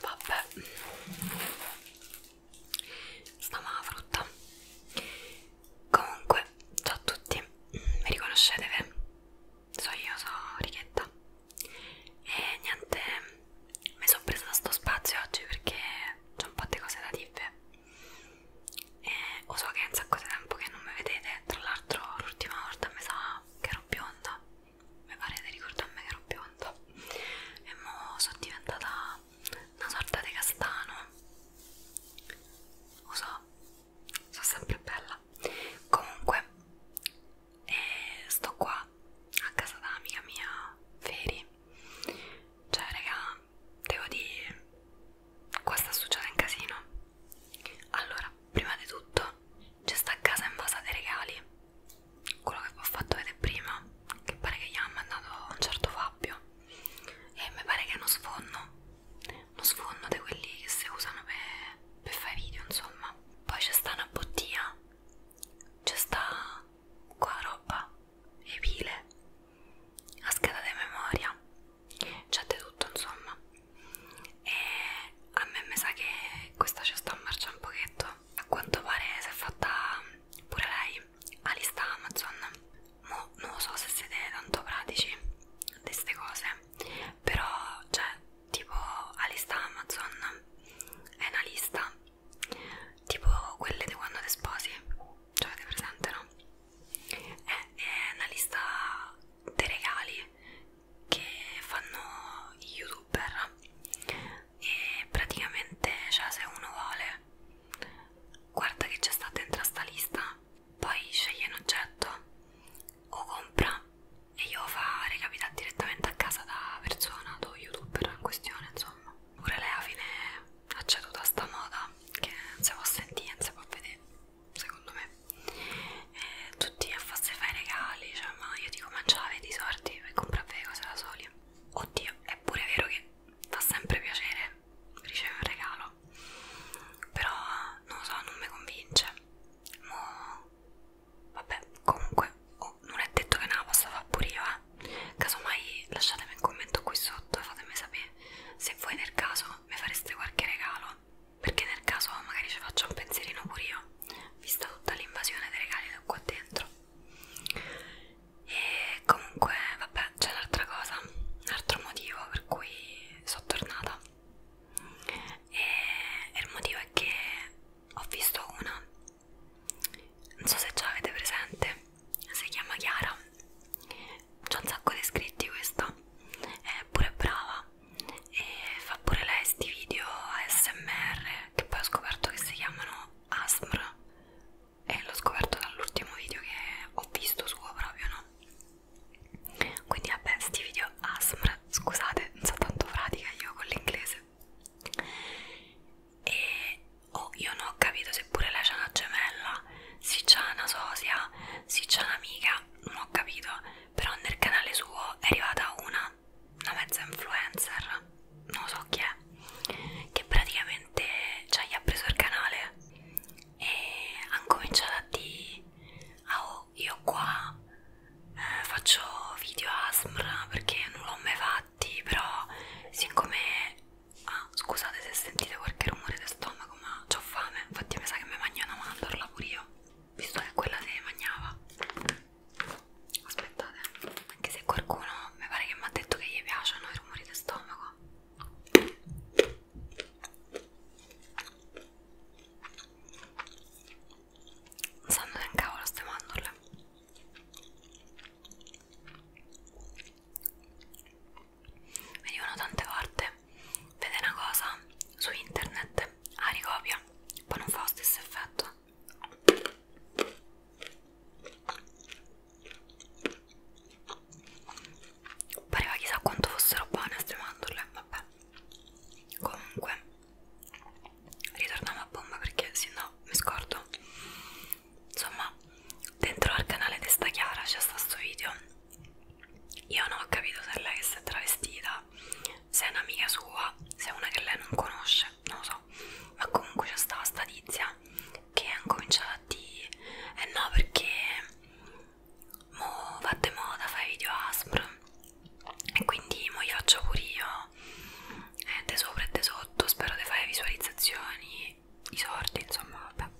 Vabbè, sta mala frutta. Comunque, ciao a tutti, mi riconoscete? Ve? So io, so Righetta e niente mi sono presa da sto spazio oggi perché c'è un po' di cose da dire e lo so che è un sacco di tempo che non mi vedete tra l'altro l'ultima volta mi sa che ero bionda mi pare di ricordarmi che ero bionda e mo sono diventata una sorta di castano lo so sono sempre bella comunque e sto qua a casa d'amica mia Feri cioè raga devo dire qua sta succedendo un casino allora prima di tutto c'è sta casa invasa dei regali quello che vi ho fatto vedere prima che pare che gli ha mandato un certo Fabio e mi pare che è uno sfondo uno sfondo di quelli che si usano per, per fare video insomma poi c'è sta una bottiglia c'è sta qua roba e pile a scheda di memoria c'è di tutto insomma e a me mi sa che questa ci sta a marcia un pochetto a quanto pare si è fatta pure lei a lista Amazon Mo non lo so se siete tanto pratici di queste cose però cioè tipo la lista Amazon è una lista tipo quelle di quando ti sposi cioè avete presente no? È, è una lista dei regali che fanno gli youtuber e praticamente cioè se uno vuole guarda che c'è sta dentro sta lista poi sceglie un oggetto o compra e io fa recapita direttamente a casa da persona, da youtuber in questione insomma pure lei alla fine ha ceduto a sta moda che non si può sentire, non si può vedere secondo me e tutti a farsi fare regali cioè ma io dico ma ce l'avete i soldi per comprare le cose da soli oddio è pure vero che fa sempre piacere ricevere un regalo però non lo so non mi convince Mo Vabbè, comunque, oh, non è detto che ne la possa fare pure io, eh. Casomai lasciatemi un commento qui sotto e fatemi sapere se voi nel caso mi fareste qualche regalo. Perché nel caso magari ci faccio un pensierino pure io, vista tutta l'invasione dei regali che ho qua dentro. E comunque, vabbè, c'è un'altra cosa, un altro motivo per cui sono tornata e il motivo è che ho visto una non so se ce l'avete presente si chiama Chiara c'ha un sacco di iscritti questa è pure brava e fa pure lei sti video ASMR che poi ho scoperto che si chiamano ASMR e l'ho scoperto dall'ultimo video che ho visto suo proprio no quindi vabbè sti video ASMR scusate non so tanto pratica io con l'inglese e oh io non ho capito se pure lei c'ha una gemella se c'ha una sosia se c'ha un'amica non ho capito però nel canale suo è arrivata una una mezza influencer non so chi è che praticamente cioè, gli ha preso il canale e hanno cominciato a dire ah oh io qua eh, faccio video ASMR perché non l'ho mai fatti però siccome ah scusate se sentite qualche rumore di stomaco ma ho fame infatti mi sa che mi mangio una mandorla pure io visto che quella se ne mangiava aspettate anche se qualcuno mi pare che mi ha detto che gli piacciono i rumori di stomaco non sanno neanche cavolo ste mandorle Venivano tante volte Vede una cosa su internet Ah ricopia Poi non fa lo stesso effetto pareva chissà quanto fossero buone queste mandorle, vabbè comunque ritorniamo a bomba perché se no mi scordo insomma dentro al canale testa chiara c'è stato sto video io non ho capito se lei che si è travestita se è un'amica sua se è una che lei non conosce non lo so ma comunque c'è stata sta tizia che ha incominciato a dire eh no perché mo va di moda fai video ASMR e quindi mo li faccio pure io eh, de sopra e de sotto spero di fare visualizzazioni i sordi insomma vabbè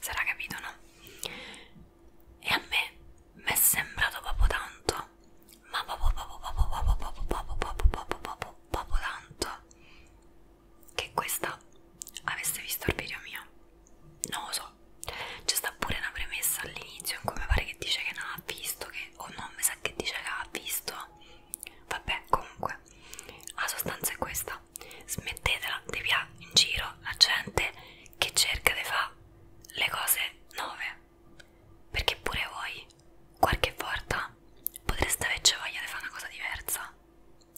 sarà capito no? e a me mi è sembrato proprio tanto ma proprio proprio proprio proprio proprio proprio proprio proprio tanto che questa avesse visto il video mio non lo so so c'è sta pure una premessa all'inizio in cui mi pare che dice che non ha visto che o no mi sa che dice che ha visto vabbè comunque la sostanza è questa smettetela di pià in giro la gente che cerca di fare le cose nuove perché pure voi qualche volta potreste averci voglia di fare una cosa diversa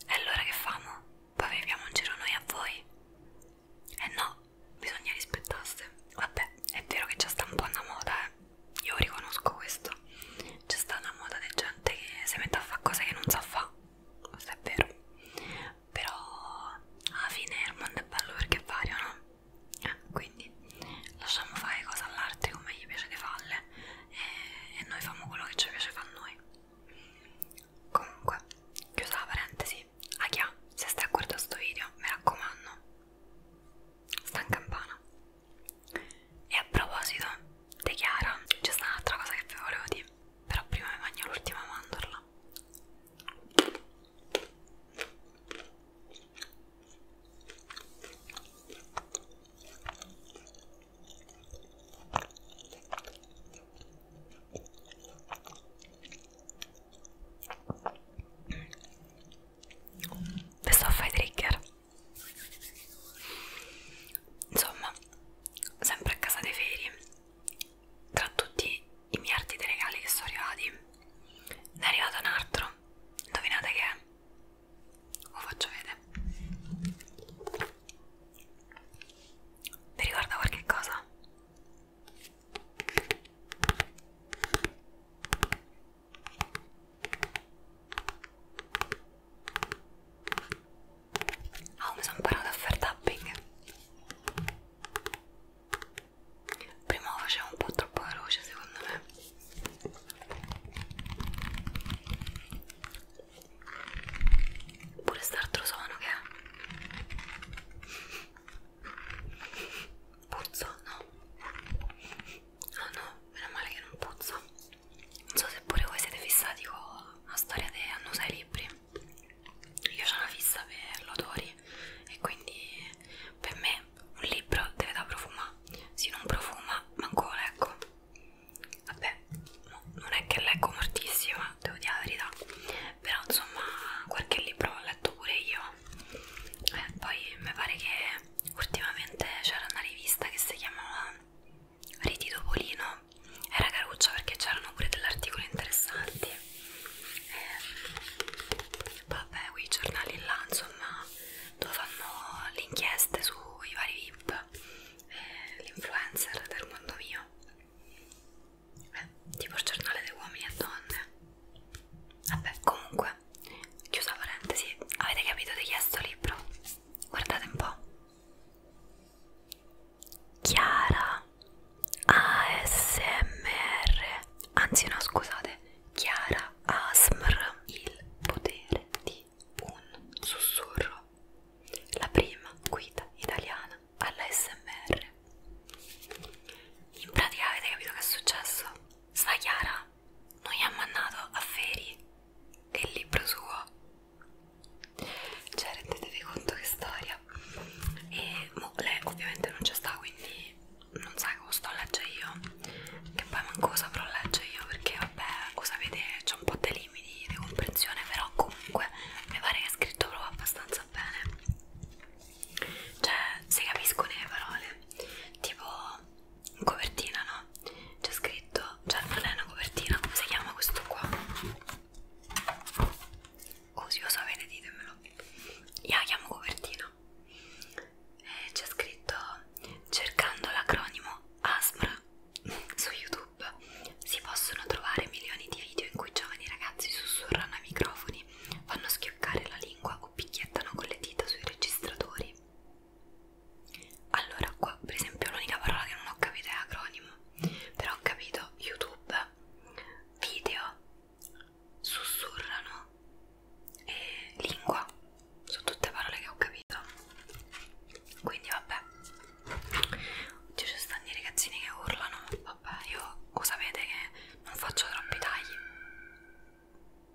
e allora che famo? Poi beviamo un giro noi a voi eh no, bisogna rispettarsi. Vabbè, è vero che c'è sta un po' una moda, eh. Io riconosco questo. C'è sta una moda di gente che si mette a fare cose che non sa fare. Questo è vero. Però alla fine il mondo è bello perché vario, no? Eh, quindi lasciamo fare cose all'arte come gli piace di farle e, eh, e noi facciamo quello che ci piace fare a noi. Comunque, chiusa la parentesi, a chi ha, se stai a guardare sto video, mi raccomando, sta in campana. E a proposito, di Chiara, c'è stata un'altra cosa che vi volevo dire, però prima mi bagno l'ultima mandorla. Questo fai trigger Insomma, sempre a casa dei feri Tra tutti i miliardi di regali che sono arrivati Ne è arrivato un altro Indovinate che è? Lo faccio vedere vi ricorda qualche cosa? Oh, mi sono imparato a fare tapping. Prima lo facevo un po' troppo veloce, secondo me. Pure st'altro suono che è? Puzzo? No. No, no, meno male che non puzzo. Non so se pure voi siete fissati con la storia di annusare i libri. Io ho una fissa per l'odori e quindi per me un libro deve da profumare. Se non profuma, manco lo ecco vabbè no, non è che leggo moltissimo devo dire la verità però insomma qualche libro l'ho letto pure io eh, poi mi pare che ultimamente c'era una rivista che si chiamava Riti Topolino era caruccia perché c'erano pure degli articoli interessanti eh, vabbè quei giornali là insomma dove fanno le inchieste sui vari VIP eh, l'influencer del mondo mio eh, tipo il giornale dei uomini e donne vabbè comunque chiusa parentesi avete capito di chi è sto libro? guardate un po' Chiara ASMR anzi no scusate Chiara ASMR il potere di sentì un sussurro, la prima guida italiana all'ASMR. In pratica avete capito che è successo? Sta Chiara non gli ha mandato a Feri e il libro suo. Cioè rendetevi conto che storia. E mo, lei ovviamente non c'è sta, quindi non sa che lo sto a leggere io. Che poi manco saprò leggere io perché vabbè, lo sapete, c'è un po' di limite limiti di comprensione però comunque mi pare che è scritto proprio abbastanza bene cioè se capiscono le parole tipo in copertina no? c'è scritto cioè non è una copertina come si chiama questo qua? oh se lo sapete ditemelo io la chiamo copertina eh, c'è scritto cercando l'acronimo ASMR su YouTube si possono trovare milioni di video in cui giovani ragazzi sussurrano ai microfoni, fanno schioccare la lingua o picchiettano con le dita sui registratori. Allora, qua per esempio l'unica parola che non ho capito è acronimo, però ho capito YouTube, video, sussurrano e lingua sono tutte parole che ho capito quindi vabbè oggi ci stanno i ragazzini che urlano vabbè io lo sapete che non faccio troppi tagli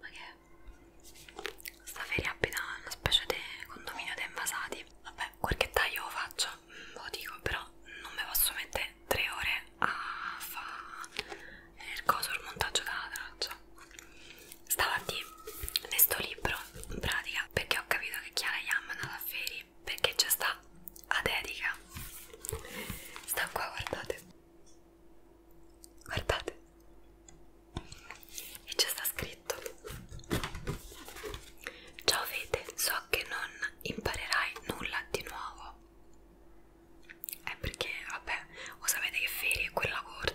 ma che sta feria abita una specie di condominio di invasati vabbè qualche taglio lo faccio lo dico però non mi posso mettere tre ore a fare il coso il montaggio della traccia stavo a dire questo libro in pratica perché ho capito che Chiara Yam è andata a Feri perché c'è sta a dedica sta qua guardate guardate e c'è sta scritto ciao Fede so che non imparerai nulla di nuovo è perché vabbè o sapete che Feri è quella corta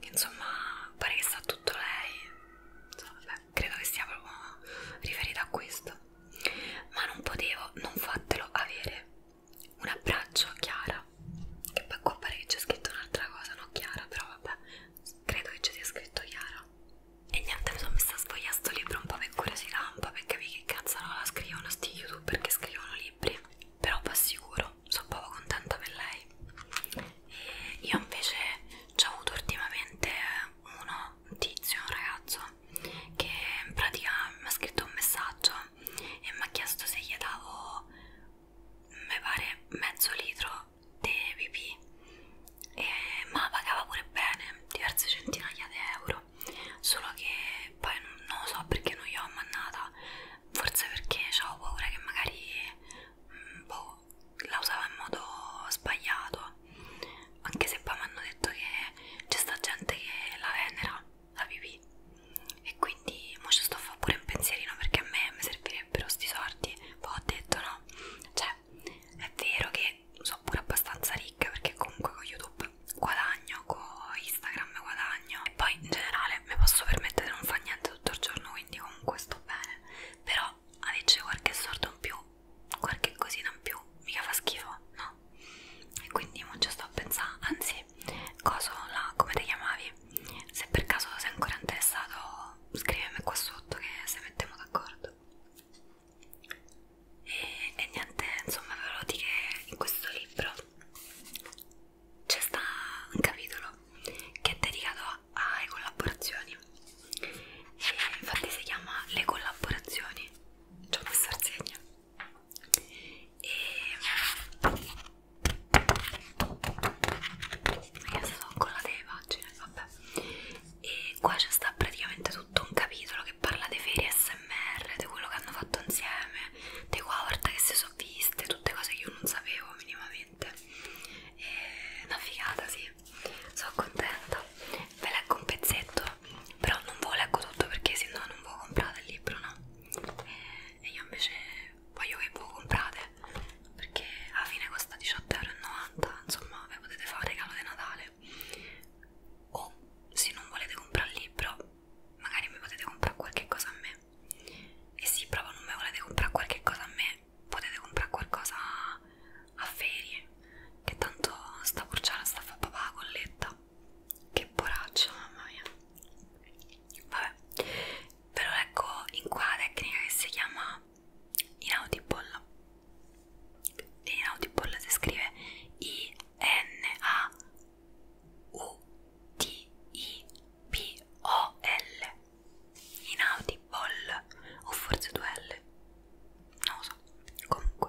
che insomma pare che sta tutto lei insomma, vabbè, credo che sia proprio riferita a questo ma non potevo non fatelo avere un abbraccio a Chiara che poi qua pare che c'è scritto un'altra cosa no Chiara però vabbè credo che ci sia scritto Chiara e niente mi sono messa a sfogliare sto libro un po' per curiosità un po' per capire che cazzo no, la scrivono sti youtuber che scrivono libri libri però vi assicuro sono proprio contenta per lei e io invece ho avuto ultimamente uno un tizio un ragazzo che in pratica mi ha scritto un messaggio e mi ha chiesto se gli davo mi pare mezzo litro di pipì e ma pagava pure bene diverse centinaia di euro solo che poi non lo so perché non gli ho mannata forse perché ho paura che magari mh, mm, boh, la usavo in modo sbagliato anche se poi mi hanno detto che c'è sta gente che la venera la pipì e quindi mo ci sto a fare pure un pensierino perché a me mi servirebbero sti sordi poi boh, ho detto no cioè è vero che sono pure abbastanza ricca perché comunque con youtube guadagno con Instagram guadagno e poi in generale mi posso permettere di non fare niente tutto il giorno quindi comunque sto bene però avere qualche sordo in più qualche cosina in più mica fa schifo no e quindi non ci sto a pensare anzi coso là come ti chiamavi se per caso sei ancora interessato scrivimi qua sotto che se mettiamo d'accordo e, e niente insomma ve lo dico che in questo libro c'è sta un capitolo che è dedicato alle collaborazioni e infatti si chiama Le collaborazioni ci ho messo al segno e sono collate le pagine vabbè e qua c'è sta praticamente tutto un capitolo che parla dei feri smr di quello che hanno fatto insieme di Howard che si sono ho viste, tutte cose che io non sapevo minimamente. E una figata, sì, sono contenta. Ve leggo un pezzetto, però non ve lo leggo tutto perché se no non voi comprate il libro, no? E io invece voglio che voi comprate perché alla fine costa 18,90€, insomma, ve potete fare un regalo di Natale. O se non volete comprare il libro, magari mi potete comprare qualche cosa a me e sì, proprio non mi volete comprare qualche cosa a me potete comprare qualcosa a ferie che tanto sta porciare sta a fare papà la colletta che poraccia mamma mia vabbè ve lo leggo in qua la tecnica che si chiama inaudible e inaudible si scrive i n a U-T-I-P-O-L Inaudible o forse due L non lo so, comunque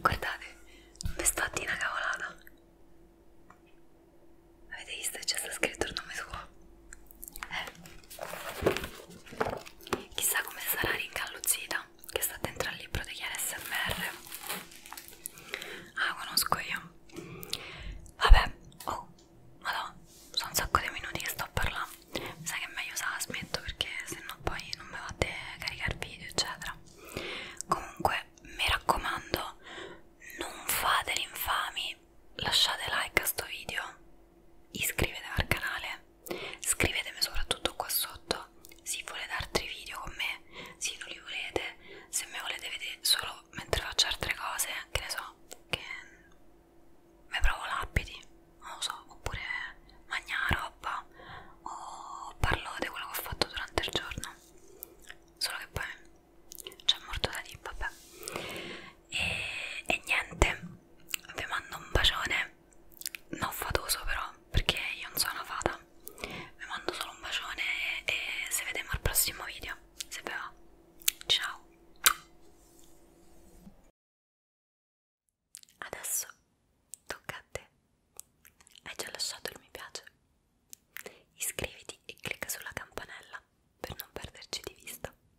Guardate, mi sto a dire una cavolata. Avete visto che c'è stato scritto il nome suo? Eh. Chissà come sarà ringalluzzita guida che sta dentro al libro degli ASMR ah conosco io vabbè oh madonna sono un sacco di minuti che sto a parlare mi sa che è meglio se la smetto perché sennò poi non mi fate caricare video eccetera comunque mi raccomando non fate l'infami lasciate like a sto video iscrivetevi al canale Scrivetemi soprattutto qua sotto se volete altri video con me, se non li volete, se me volete vedere solo mentre faccio altre cose, che ne so, che mi provo l'abiti, non lo so, oppure mangiare roba o parlo di quello che ho fatto durante il giorno. Solo che poi c'è molto da dire, vabbè. E, e niente, vi mando un bacione non fatoso però perché io non sono una fata vi mando solo un bacione e, e se vediamo al prossimo video se vi va ciao adesso tocca a te hai già lasciato il mi piace iscriviti e clicca sulla campanella per non perderci di vista